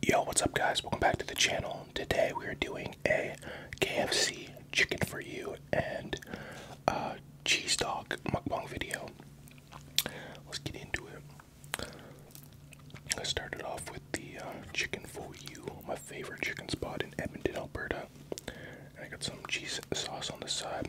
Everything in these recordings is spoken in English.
Yo, what's up, guys? Welcome back to the channel. Today we are doing a KFC chicken for you and uh, cheese dog mukbang video. Let's get into it. I started off with the uh, chicken for you, my favorite chicken spot in Edmonton, Alberta. And I got some cheese sauce on the side.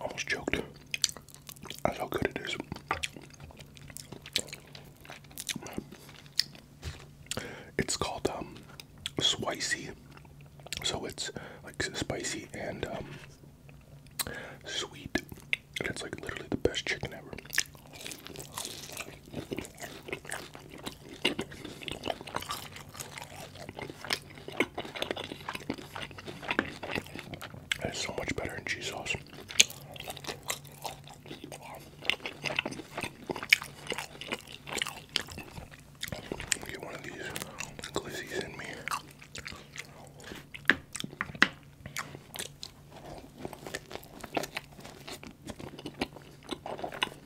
Almost choked. That's how good it is. It's called um, Swicy. So it's like spicy and um, sweet. And it's like literally the best chicken ever. It's so much better than cheese sauce. Get one of these glizzies in me.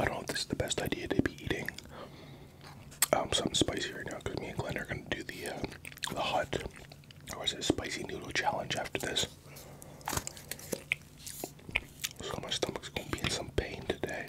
I don't know if this is the best idea to be eating um, something spicy right now because me and Glenn are going to do the, uh, the hot, or is it a spicy noodle challenge after this. So my stomach's going to be in some pain today.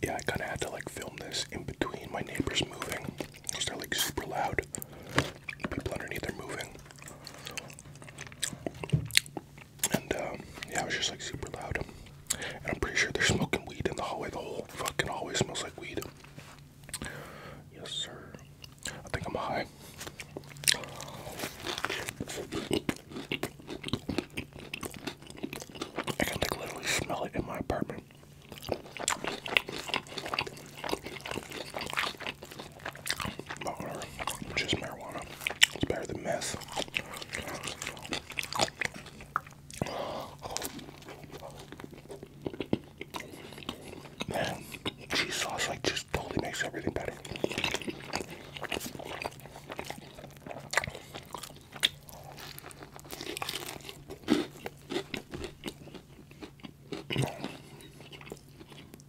Yeah, I kind of had to like film this in between my neighbors moving because they're like super loud. People underneath are moving. And um, yeah, it was just like super loud. And I'm pretty sure they're smoking weed in the hallway. The whole fucking hallway smells like weed. Yes, sir. I think I'm high. I can like literally smell it in my apartment. Baller, marijuana. It's better than meth. cheese sauce like just totally makes everything better.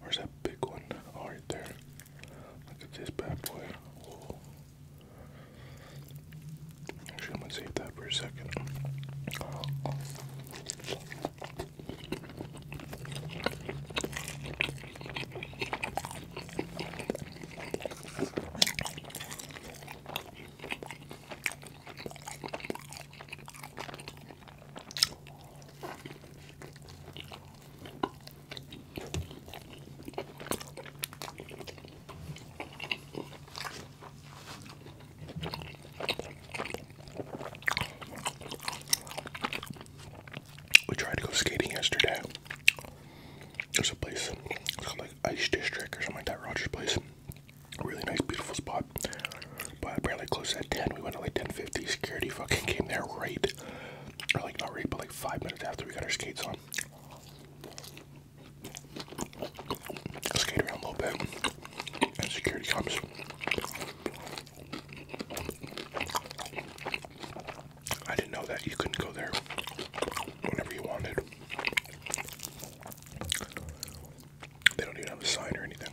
Where's that big one? All oh, right, there. Look at this bad boy. Actually, I'm gonna save that for a second. We tried to go skating yesterday. There's a place, called like Ice District or something like that, Roger's place. really nice, beautiful spot. But apparently closed at 10. We went at like 10.50. Security fucking came there right. Or like not right, but like five minutes after we got our skates on skate around a little bit, and security comes. I didn't know that you couldn't go there whenever you wanted. They don't even have a sign or anything.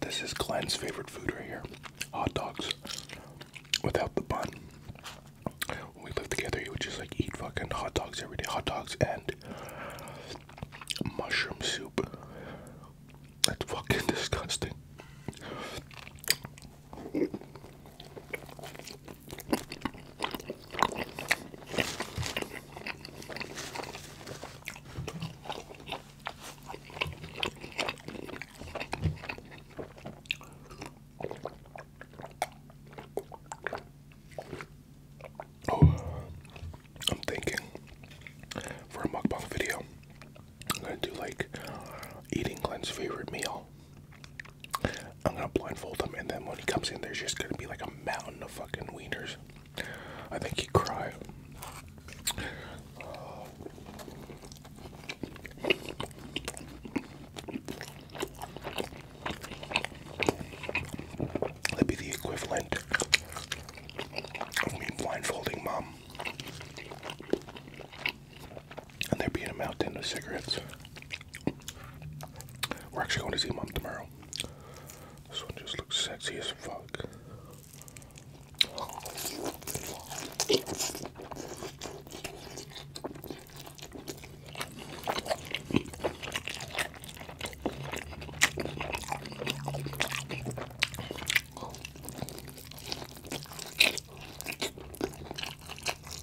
This is Glenn's favorite food right here hot dogs without the bun. When we lived together, he would just like eat fucking hot dogs every day. Hot dogs and mushroom soup. That fucking disgusting. Oh, I'm thinking for a mukbang video, I'm gonna do like eating Glenn's favorite meal. I'm gonna blindfold him, and then when he comes in, there's just gonna be like a mountain of fucking wieners. I think he'd cry. That'd be the equivalent of me blindfolding mom and they're beating them out in the cigarettes. We're actually going to see mom tomorrow. This one just looks sexy as fuck.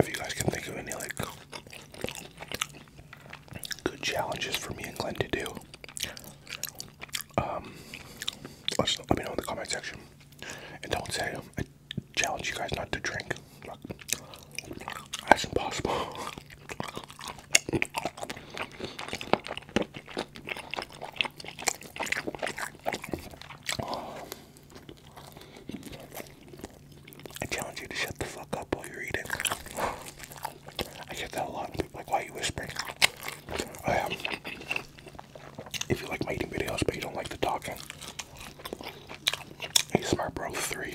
If you guys can think of any like good challenges for me and Glenn to do, um, let, me know in the comment section. And don't say I um, challenge you guys not to drink. That's impossible. I challenge you to shut the fuck up while you're eating. I get that a lot. People like, why are you whispering? Um, if you like my eating videos but you don't like the talking, hey, smart bro three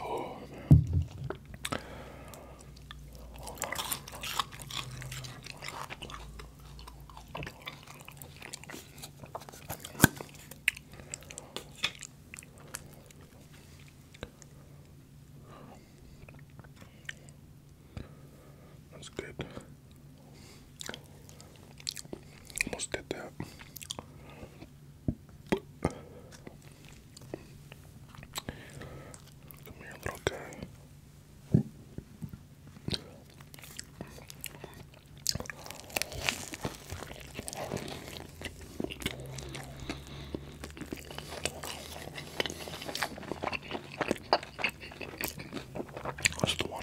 Oh, That's good. Almost did that. Come here, little guy. That's the one.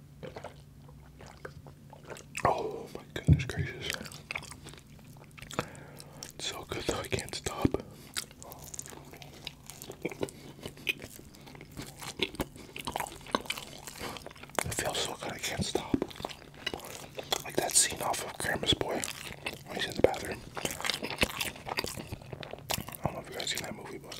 Oh my goodness gracious. so good I can't stop. It feels so good, I can't stop. Like that scene off of Grandma's Boy when he's in the bathroom. I don't know if you guys seen that movie, but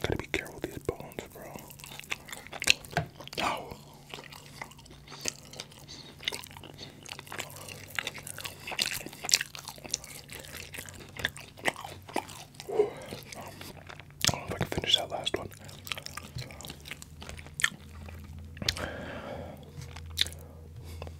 Gotta be careful with these bones, bro. Ow. I don't know if I can finish that last one.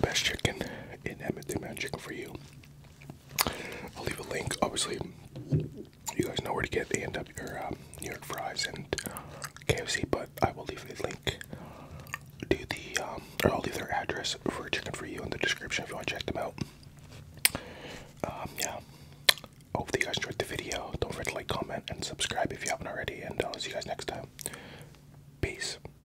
Best chicken in Edmonton, man. Chicken for you. I'll leave a link. Obviously, you guys know where to get the end up your New York fries and KFC, but I will leave a link to the um, or I'll leave their address for chicken for you in the description if you want to check them out. Um, yeah. Hopefully you guys enjoyed the video. Don't forget to like, comment, and subscribe if you haven't already. And I'll see you guys next time. Peace.